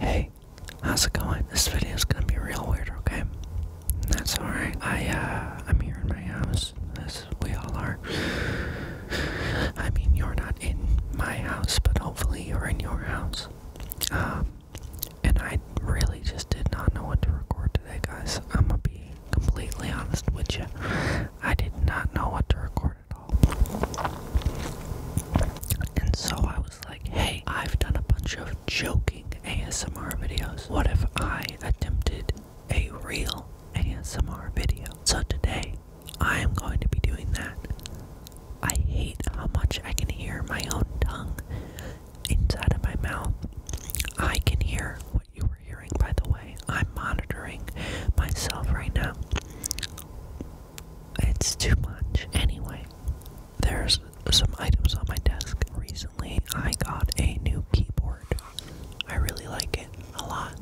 Hey, how's it going? This video is gonna be real weird, okay? That's alright. I uh I'm here in my house. As we all are. I mean you're not in my house, but hopefully you're in your house. Um and I really just did not know what to record today guys. I'm gonna be completely honest with you, I did not know what to record at all. And so I was like, hey, I've done a bunch of joking ASMR videos. What if I attempted a real ASMR video? So today, I am going to be doing that. I hate how much I can hear my own tongue inside of my mouth. I can hear what you were hearing, by the way. I'm monitoring myself right now. It's too much. Anyway, there's some items on my desk. Recently, I got a new keyboard. I really like it a lot.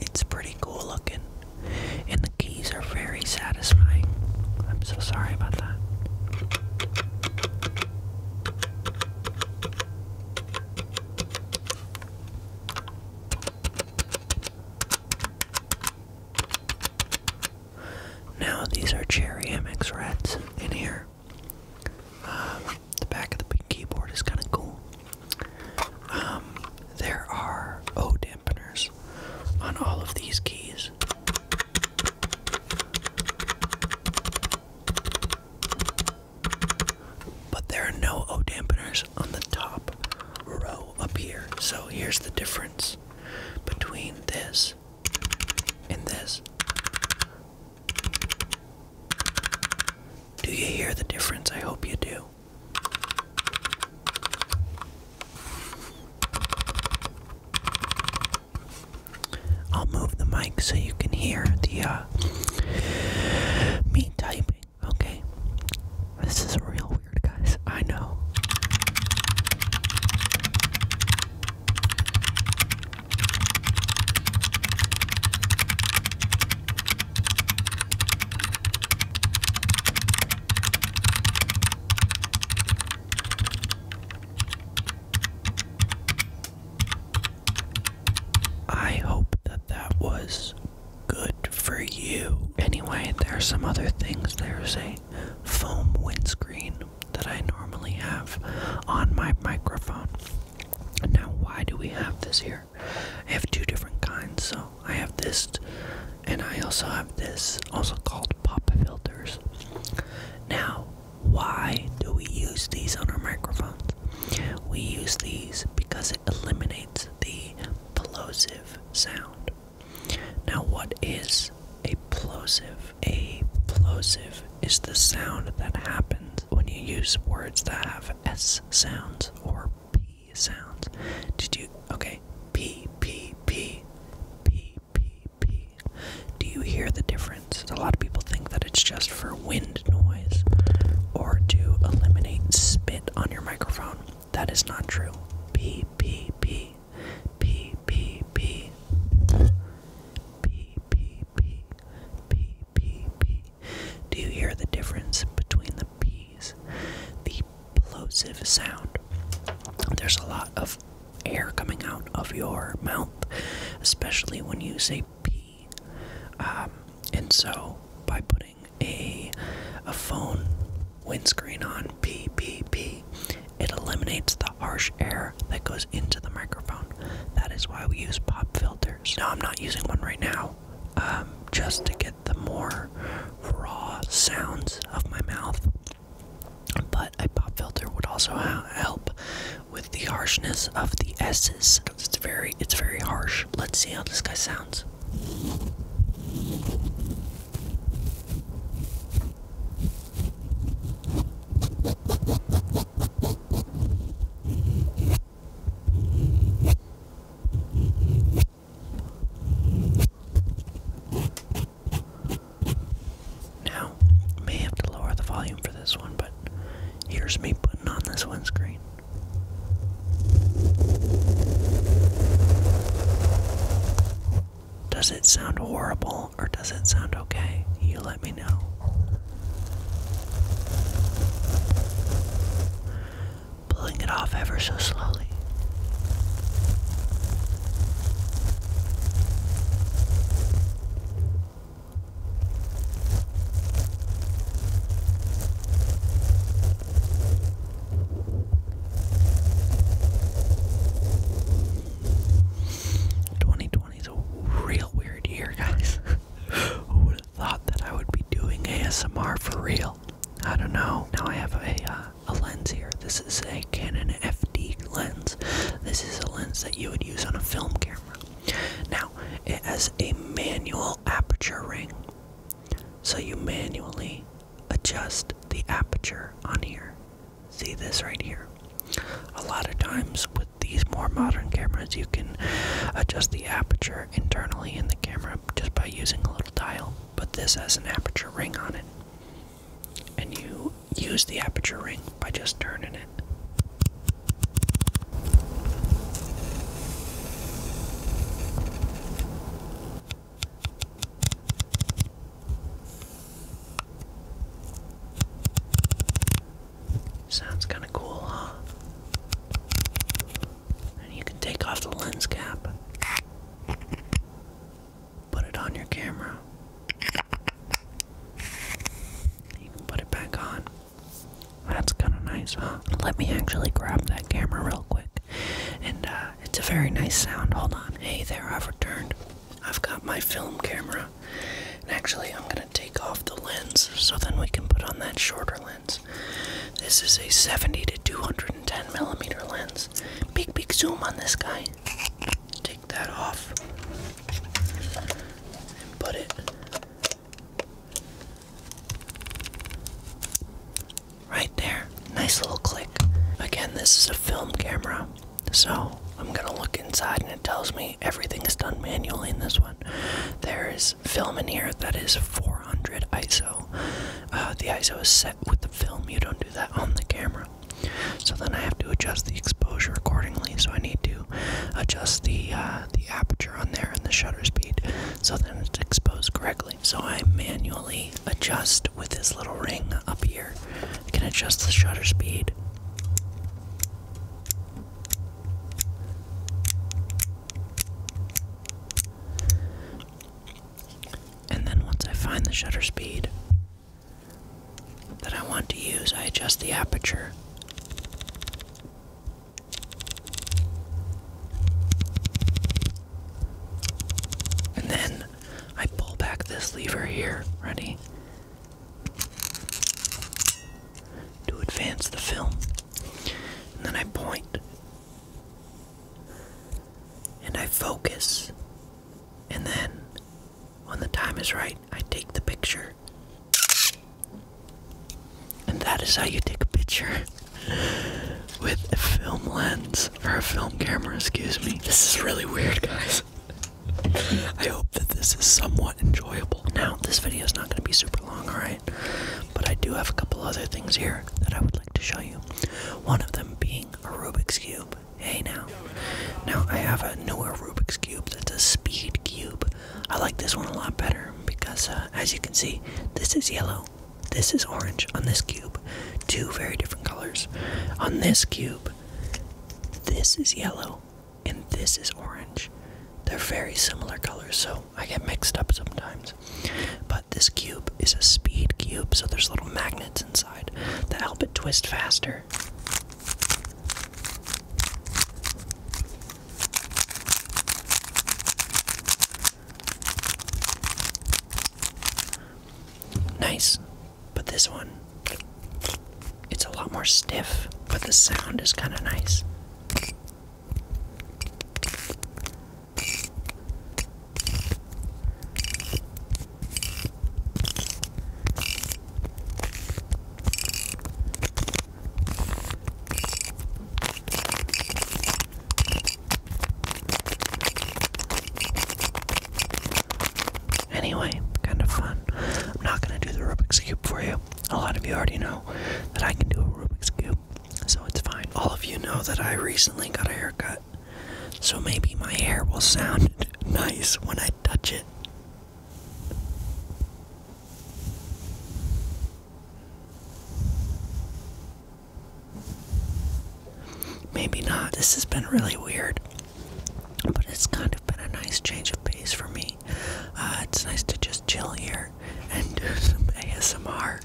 It's pretty cool looking, and the keys are very satisfying. I'm so sorry about that. Now these are Cherry MX Reds in here. Um, the back of the keyboard is kind of cool. Um, there are O dampeners on all of these keys. But there are no O dampeners on the top row up here. So here's the difference between this and this. Do you hear the difference? I hope you do. I'll move the mic so you can hear the uh, me typing. Okay, this is real weird, guys. I know. I hope that that was good for you. Anyway, there are some other things. There's a foam windscreen that I normally have on my microphone. Now, why do we have this here? I have two different kinds. So I have this, and I also have this, also called pop filters. Now, why do we use these on our microphones? We use these because it eliminates the plosive sound. Now, what is a plosive? A plosive is the sound that happens when you use words that have S sounds or P sounds. Did you? Okay. P, P, P, P, P, B. Do you hear the difference? A lot of people think that it's just for wind noise or to eliminate spit on your microphone. That is not true. P, P, P. P, P, P. P, P, P. P, P, P. Do you hear the difference between the P's? The plosive sound. There's a lot of air coming out of your mouth, especially when you say p, um, and so, by putting a, a phone windscreen on, pee, pee, pee, it eliminates the harsh air that goes into the microphone. That is why we use pop filters. Now, I'm not using one right now, um, just to get the more raw sounds of my mouth. But a pop filter would also help with the harshness of the S's. It's very, it's very harsh. Let's see how this guy sounds. Now, may have to lower the volume for this one, but here's me putting on this windscreen. Does it sound horrible or does it sound okay? You let me know. Pulling it off ever so slowly. 2020 is a real weird year, guys. Who would have thought that I would be doing ASMR for real? I don't know. Now I have a uh, a lens here. This is a Canon FD lens. This is a lens that you would use on a film camera. Now, it has a manual aperture ring. So you manually adjust the aperture on here. See this right here? A lot of times with these more modern cameras, you can adjust the aperture internally in the camera just by using a little dial but this has an aperture ring on it. And you use the aperture ring by just turning it. Sounds kind of cool, huh? and you can take off the lens cap. Put it on your camera. You can put it back on. That's kind of nice, huh? Let me actually grab that camera real quick. And uh, it's a very nice sound. Hold on. Hey there, I've returned. I've got my film camera. And actually, I'm going to take off the lens so then we can put on that shorter lens. This is a 70 to 210 millimeter lens. Big, big zoom on this guy. Take that off and put it right there. Nice little click. Again, this is a film camera, so I'm gonna look inside and it tells me everything is done manually in this one. There is film in here that is 400 ISO. Uh, the ISO is set with the film. You don't do that on the camera. So then I have to adjust the exposure accordingly. So I need to adjust the uh, the aperture on there and the shutter speed. So then it's exposed correctly. So I manually adjust with this little ring up here. I can adjust the shutter speed. And then once I find the shutter speed that I want to use, I adjust the aperture. And then I pull back this lever here, ready? To advance the film. And then I And I focus. And then, when the time is right, I take the picture. And that is how you take a picture with a film lens, or a film camera, excuse me. This is really weird, guys. I hope that this is somewhat enjoyable. Now, this video is not going to be super long, alright? But I do have a couple other things here that I would like to show you. One of them being a Rubik's Cube. Hey now. Now, I have a newer Rubik's Cube that's a speed cube. I like this one a lot better because, uh, as you can see, this is yellow, this is orange on this cube. Two very different colors. On this cube, this is yellow and this is orange. They're very similar colors, so I get mixed up sometimes. But this cube is a speed cube, so there's little magnets inside that help it twist faster. Nice, but this one, it's a lot more stiff, but the sound is kind of nice. Anyway, kind of fun. I'm not going to do the Rubik's Cube for you. A lot of you already know that I can do a Rubik's Cube, so it's fine. All of you know that I recently got a haircut, so maybe my hair will sound nice when I touch it. Maybe not. This has been really weird, but it's kind of been a nice change of pace for me. Uh, it's nice to just chill here and do some ASMR.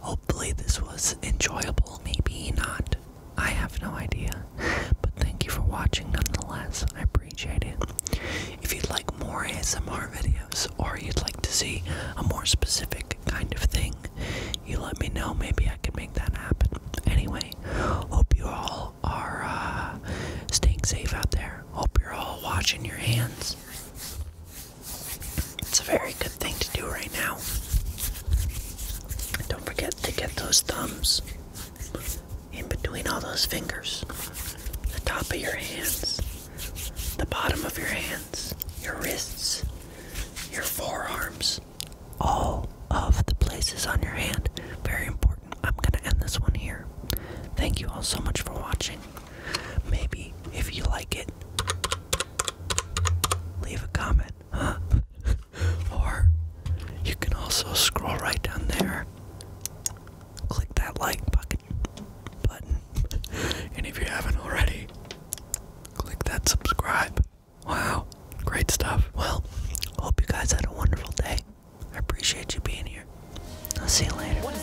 Hopefully, this was enjoyable. Maybe not. I have no idea. But thank you for watching nonetheless. I appreciate it. If you'd like more ASMR videos or you'd like to see a more specific kind of thing, you let me know. Maybe I can make that happen. Anyway, hope you all all are uh, staying safe out there. Hope you're all watching your hands. It's a very good thing to do right now. Don't forget to get those thumbs in between all those fingers, the top of your hands, the bottom of your hands, your wrists, your forearms, all of the places on your hand. Very important. I'm gonna end this one here. Thank you all so much for watching. Maybe if you like it, leave a comment, huh? or you can also scroll right down there, click that like button, and if you haven't already, click that subscribe. Wow, great stuff. Well, hope you guys had a wonderful day. I appreciate you being here. I'll see you later.